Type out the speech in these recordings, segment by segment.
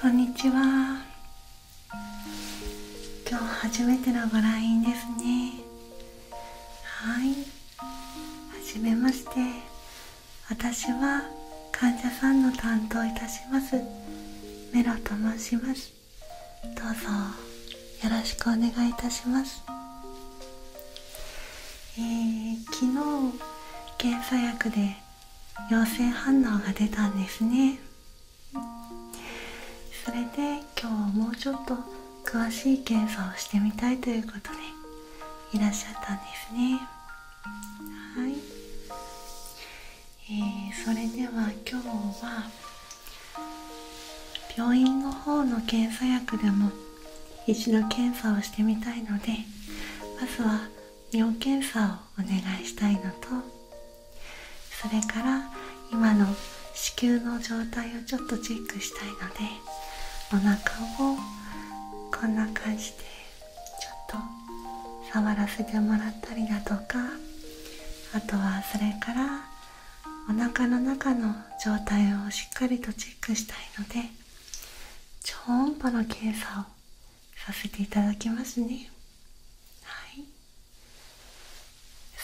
こんにちは今日初めてのご来院ですねはいはじめまして私は患者さんの担当いたしますメロと申しますどうぞよろしくお願いいたしますえー、昨日検査薬で陽性反応が出たんですねそれで今日はもうちょっと詳しい検査をしてみたいということでいらっしゃったんですねはい、えー、それでは今日は病院の方の検査薬でも一度検査をしてみたいのでまずは尿検査をお願いしたいのとそれから今の子宮の状態をちょっとチェックしたいのでお腹をこんな感じでちょっと触らせてもらったりだとかあとはそれからおなかの中の状態をしっかりとチェックしたいので超音波の検査をさせていただきますねはい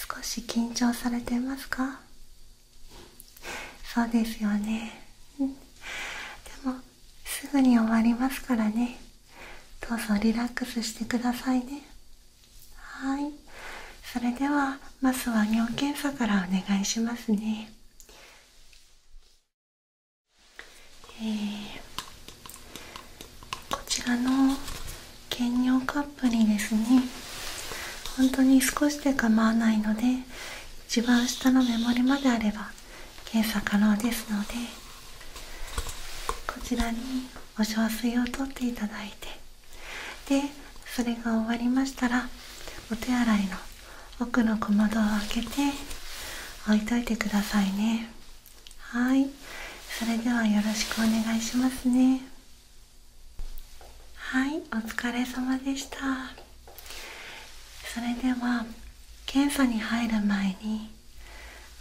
少し緊張されてますか そうですよねでもすぐに終わりますからねどうぞリラックスしてくださいねはいそれではまずは尿検査からお願いしますねえこちらの兼尿カップにですね本当に少しで構わないので一番下の目盛りまであれば検査可能ですのでこちらにお小水を取っていただいてでそれが終わりましたらお手洗いの奥の小窓を開けて置いといてくださいね。はいそれではよろしくお願いしますねはいお疲れ様でしたそれでは検査に入る前に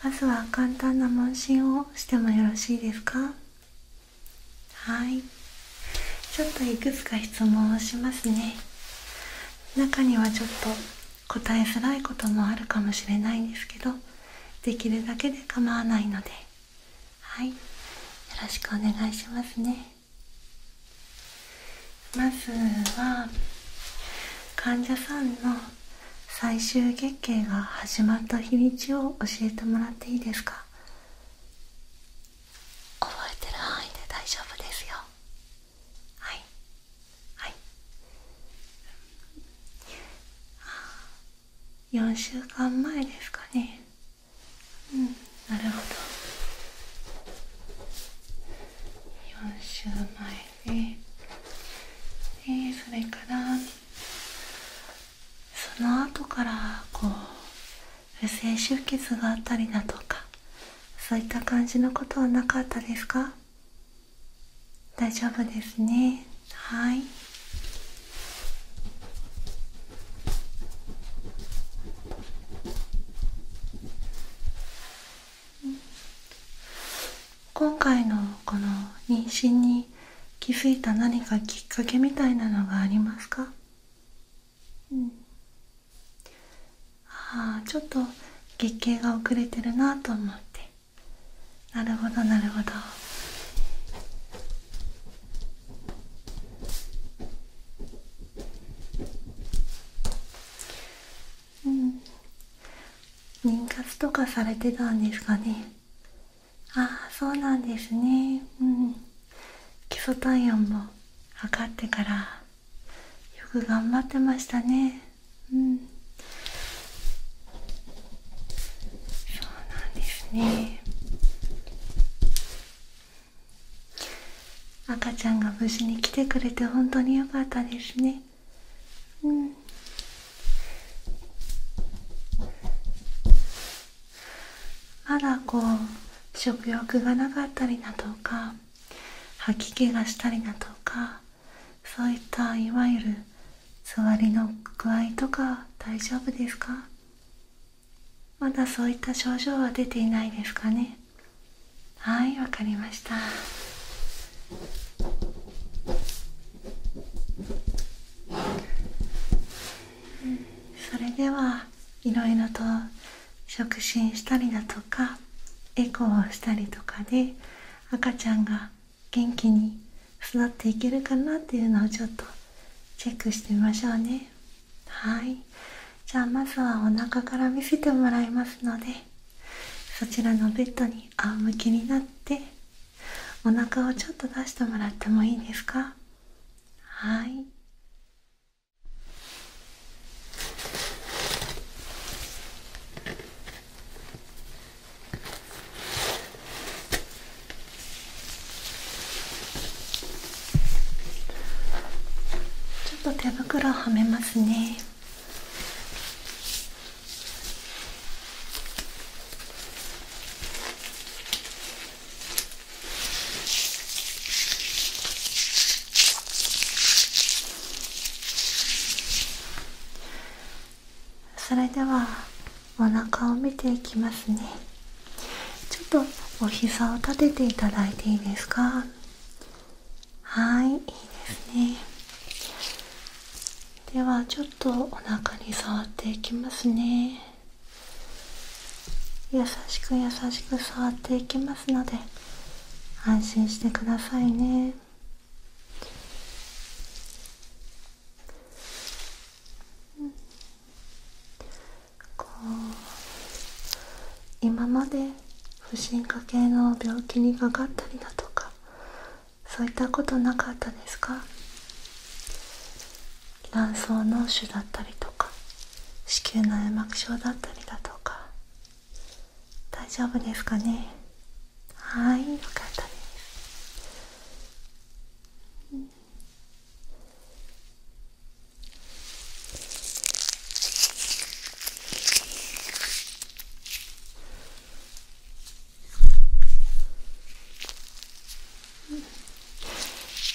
まずは簡単な問診をしてもよろしいですかはいちょっといくつか質問をしますね中にはちょっと答えづらいこともあるかもしれないんですけどできるだけで構わないのではいよろしくお願いしますねまずは患者さんの最終月経が始まった日にちを教えてもらっていいですか覚えてる範囲で大丈夫ですよはいはい4週間前ですかねうんなるほど4週前ででそれからその後からこう不正出血があったりだとかそういった感じのことはなかったですか大丈夫ですねはい今回のこの妊娠に気づいた何かきっかけみたいなのがありますかうんああちょっと月経が遅れてるなと思ってなるほどなるほどうん妊活とかされてたんですかねああそうなんですねうん基礎体温も測ってからよく頑張ってましたねうんそうなんですね赤ちゃんが無事に来てくれて本当によかったですねうんまだこう食欲がなかったりだとか吐き気がしたりだとかそういったいわゆる座りの具合とか大丈夫ですかまだそういった症状は出ていないですかねはいわかりましたそれではいろいろと触診したりだとかエコーをしたりとかで赤ちゃんが元気に育っていけるかなっていうのをちょっとチェックしてみましょうねはいじゃあまずはお腹から見せてもらいますのでそちらのベッドに仰向けになってお腹をちょっと出してもらってもいいですかはいちょっと手袋はめますねそれではお腹を見ていきますねちょっとお膝を立てていただいていいですかはいいいですねではちょっとお腹に触っていきますね優しく優しく触っていきますので安心してくださいねうん、こう今まで不進化系の病気にかかったりだとかそういったことなかったですか卵巣の腫だったりとか子宮内膜症だったりだとか大丈夫ですかねはいよかったです、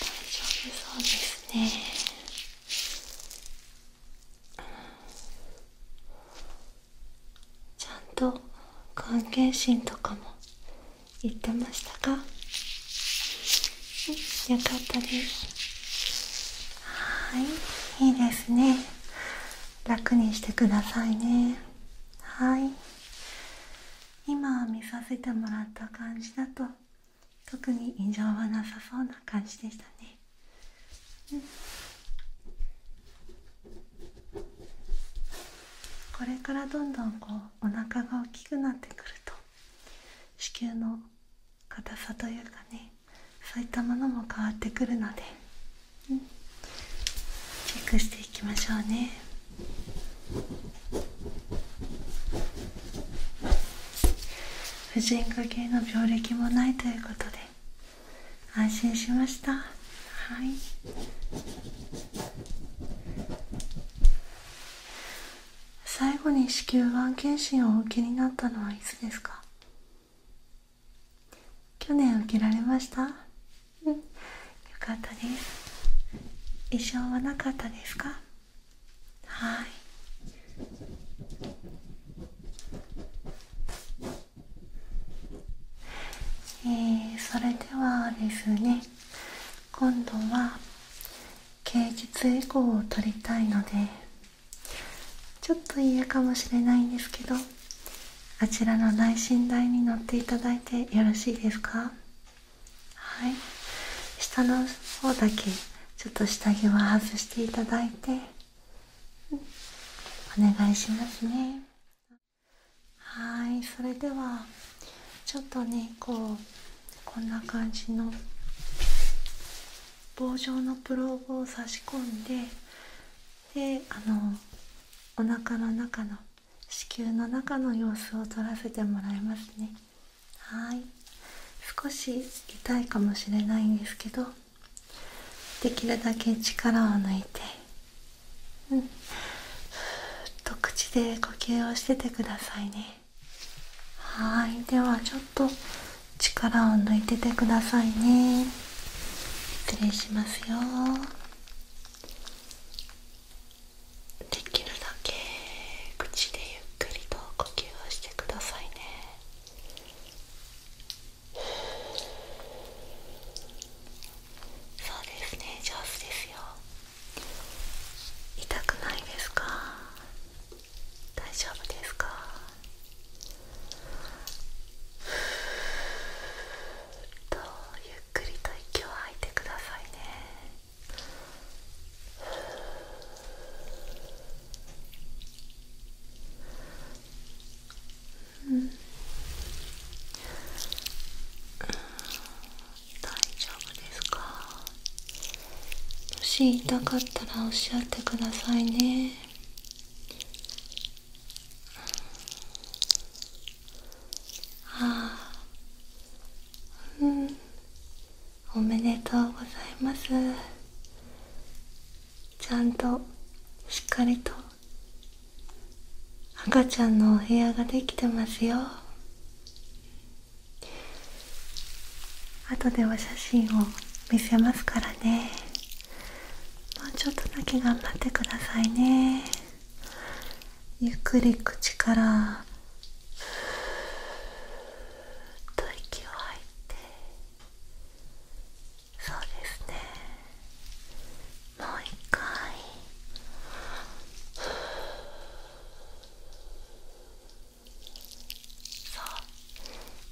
大丈夫そうですねちゃんと関係心とかも言ってましたか、うん、よかったですはいいいですね楽にしてくださいねはい今見させてもらった感じだと特に異常はなさそうな感じでしたね、うんこれからどんどんこうお腹が大きくなってくると子宮の硬さというかねそういったものも変わってくるので、チェックしていきましょうね婦人科系の病歴もないということで安心しました。はい最後に子宮がん検診をお受けになったのはいつですか去年受けられました、うん、よかったです異常はなかったですかはいえそれではですね今度は芸術エゴを取りたいのでちょっと嫌かもしれないんですけどあちらの内寝台に乗っていただいてよろしいですかはい下の方だけちょっと下着は外していただいて、お願いしますねはいそれではちょっとねこうこんな感じの棒状のプローブを差し込んでであのお腹の中の子宮の中の様子を撮らせてもらいますねはい少し痛いかもしれないんですけどできるだけ力を抜いてうんと口で呼吸をしててくださいねはいではちょっと力を抜いててくださいね失礼しますよできるだけ口でゆっくりと呼吸をしてくださいねそうですね上手ですよ痛くないですか大丈夫ですかふっとゆっくりと息を吐いてくださいねうんうん。大丈夫ですかもし痛かったらおっしゃってくださいねああうんおめでとうございますちゃんとしっかりと赤ちゃんのお部屋ができてますよ後でお写真を見せますからねもうちょっとだけ頑張ってくださいねゆっくり口からふっと息を吐いてそうですねもう一回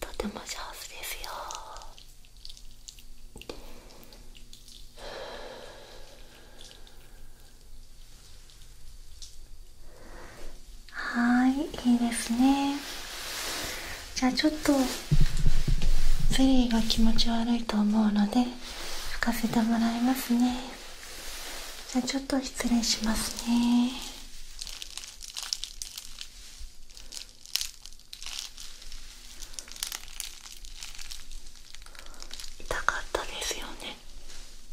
とても上手ですよはいいいですねじゃあちょっとゼリーが気持ち悪いと思うので拭かせてもらいますねじゃあちょっと失礼しますね痛かったですよね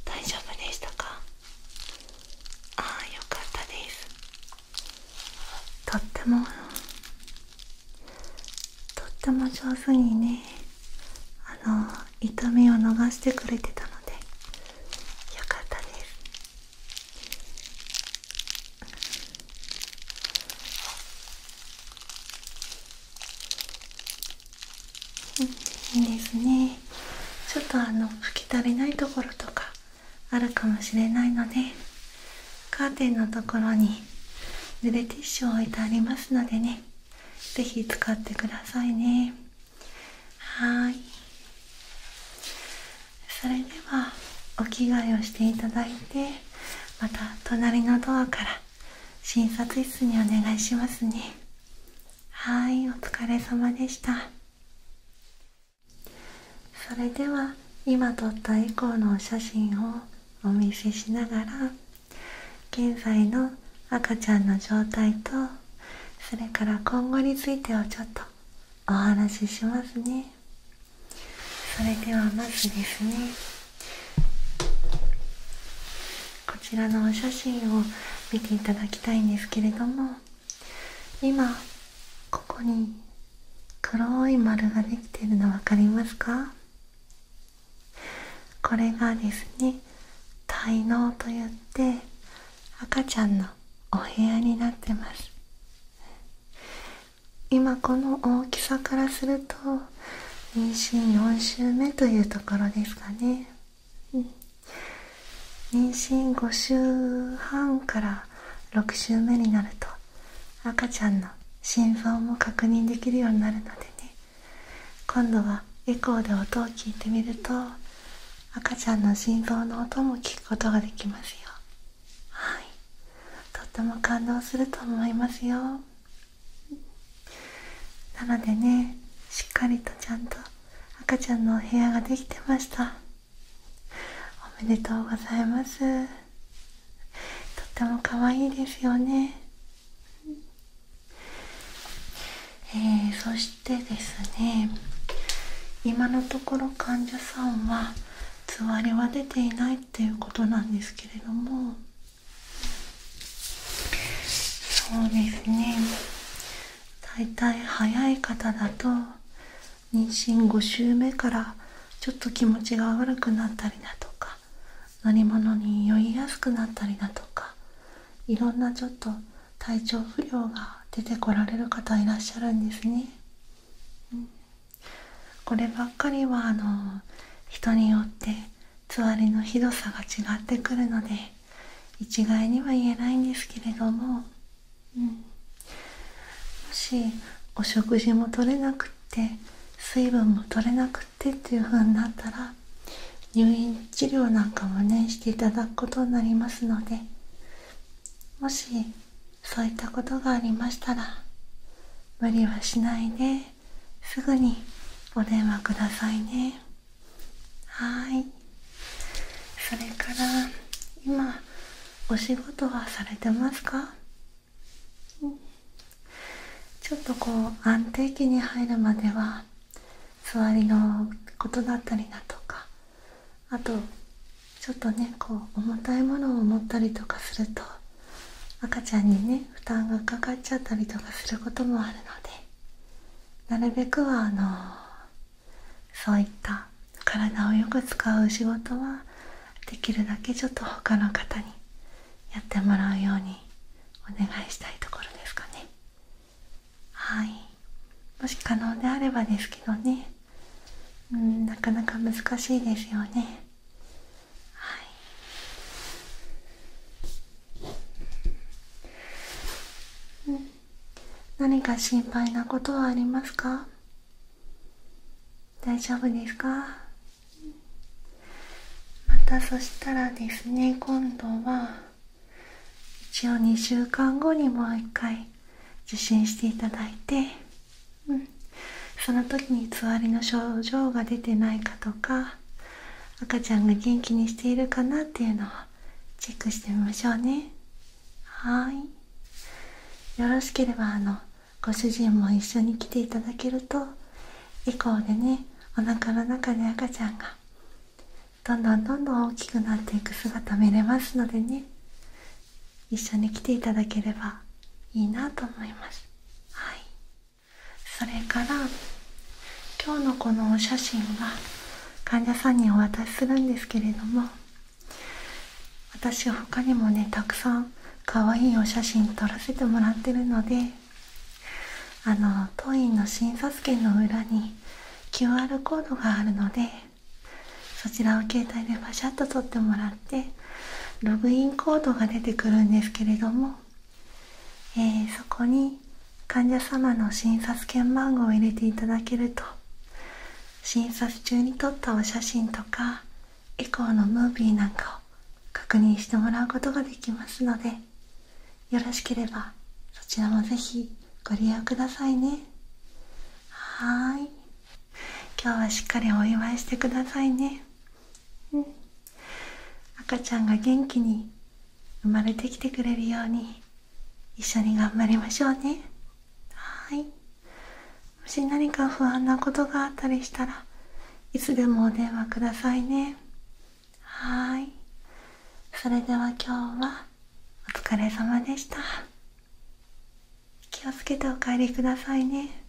大丈夫でしたかああよかったですとってもとっても上手にねあの痛みを逃してくれてたのでよかったですいいですねちょっとあの拭き足りないところとかあるかもしれないのでカーテンのところに濡れティッシュを置いてありますのでねぜひ使ってくださいねはいそれではお着替えをしていただいてまた隣のドアから診察室にお願いしますねはいお疲れ様でしたそれでは今撮った以降のお写真をお見せしながら現在の赤ちゃんの状態とそれから今後についてはちょっとお話ししますねそれではまずですねこちらのお写真を見ていただきたいんですけれども今ここに黒い丸ができてるの分かりますかこれがですね滞納といって赤ちゃんのお部屋になってます今この大きさからすると妊娠4週目というところですかね、妊娠5週半から6週目になると赤ちゃんの心臓も確認できるようになるのでね今度はエコーで音を聞いてみると赤ちゃんの心臓の音も聞くことができますよはいとっても感動すると思いますよなのでねしっかりとちゃんと赤ちゃんのお部屋ができてましたおめでとうございますとっても可愛いですよねえそしてですね今のところ患者さんはつわりは出ていないっていうことなんですけれどもそうですね大体早い方だと妊娠5週目からちょっと気持ちが悪くなったりだとか乗り物に酔いやすくなったりだとかいろんなちょっと体調不良が出てこられる方いらっしゃるんですね。うん、こればっかりはあの人によってつわりのひどさが違ってくるので一概には言えないんですけれども、うん、もしお食事も取れなくって水分も取れなくってっていう風になったら入院治療なんかもねしていただくことになりますのでもしそういったことがありましたら無理はしないですぐにお電話くださいねはいそれから今お仕事はされてますか、ちょっとこう安定期に入るまでは座りのことだったりだとかあとちょっとねこう重たいものを持ったりとかすると赤ちゃんにね負担がかかっちゃったりとかすることもあるのでなるべくはあのそういった体をよく使う仕事はできるだけちょっと他の方にやってもらうようにお願いしたいところですかねはいもし可能であればですけどねうんなかなか難しいですよね何か心配なことはありますか大丈夫ですかまたそしたらですね今度は一応2週間後にもう一回受診していただいて、うん、その時につわりの症状が出てないかとか赤ちゃんが元気にしているかなっていうのをチェックしてみましょうねはいよろしければあのご主人も一緒に来ていただけると以降でねおなかの中で赤ちゃんがどんどんどんどん大きくなっていく姿見れますのでね一緒に来ていただければいいなと思いますはいそれから今日のこのお写真は患者さんにお渡しするんですけれども私は他にもねたくさん可愛いお写真撮らせてもらってるのであの当院の診察券の裏に QR コードがあるのでそちらを携帯でパシャッと取ってもらってログインコードが出てくるんですけれども、えそこに患者様の診察券番号を入れていただけると診察中に撮ったお写真とかエコーのムービーなんかを確認してもらうことができますのでよろしければそちらもぜひご利用くださいねはい今日はしっかりお祝いしてくださいねうん赤ちゃんが元気に生まれてきてくれるように一緒に頑張りましょうねはいもし何か不安なことがあったりしたらいつでもお電話くださいねはいそれでは今日はお疲れ様でした気をつけてお帰りくださいね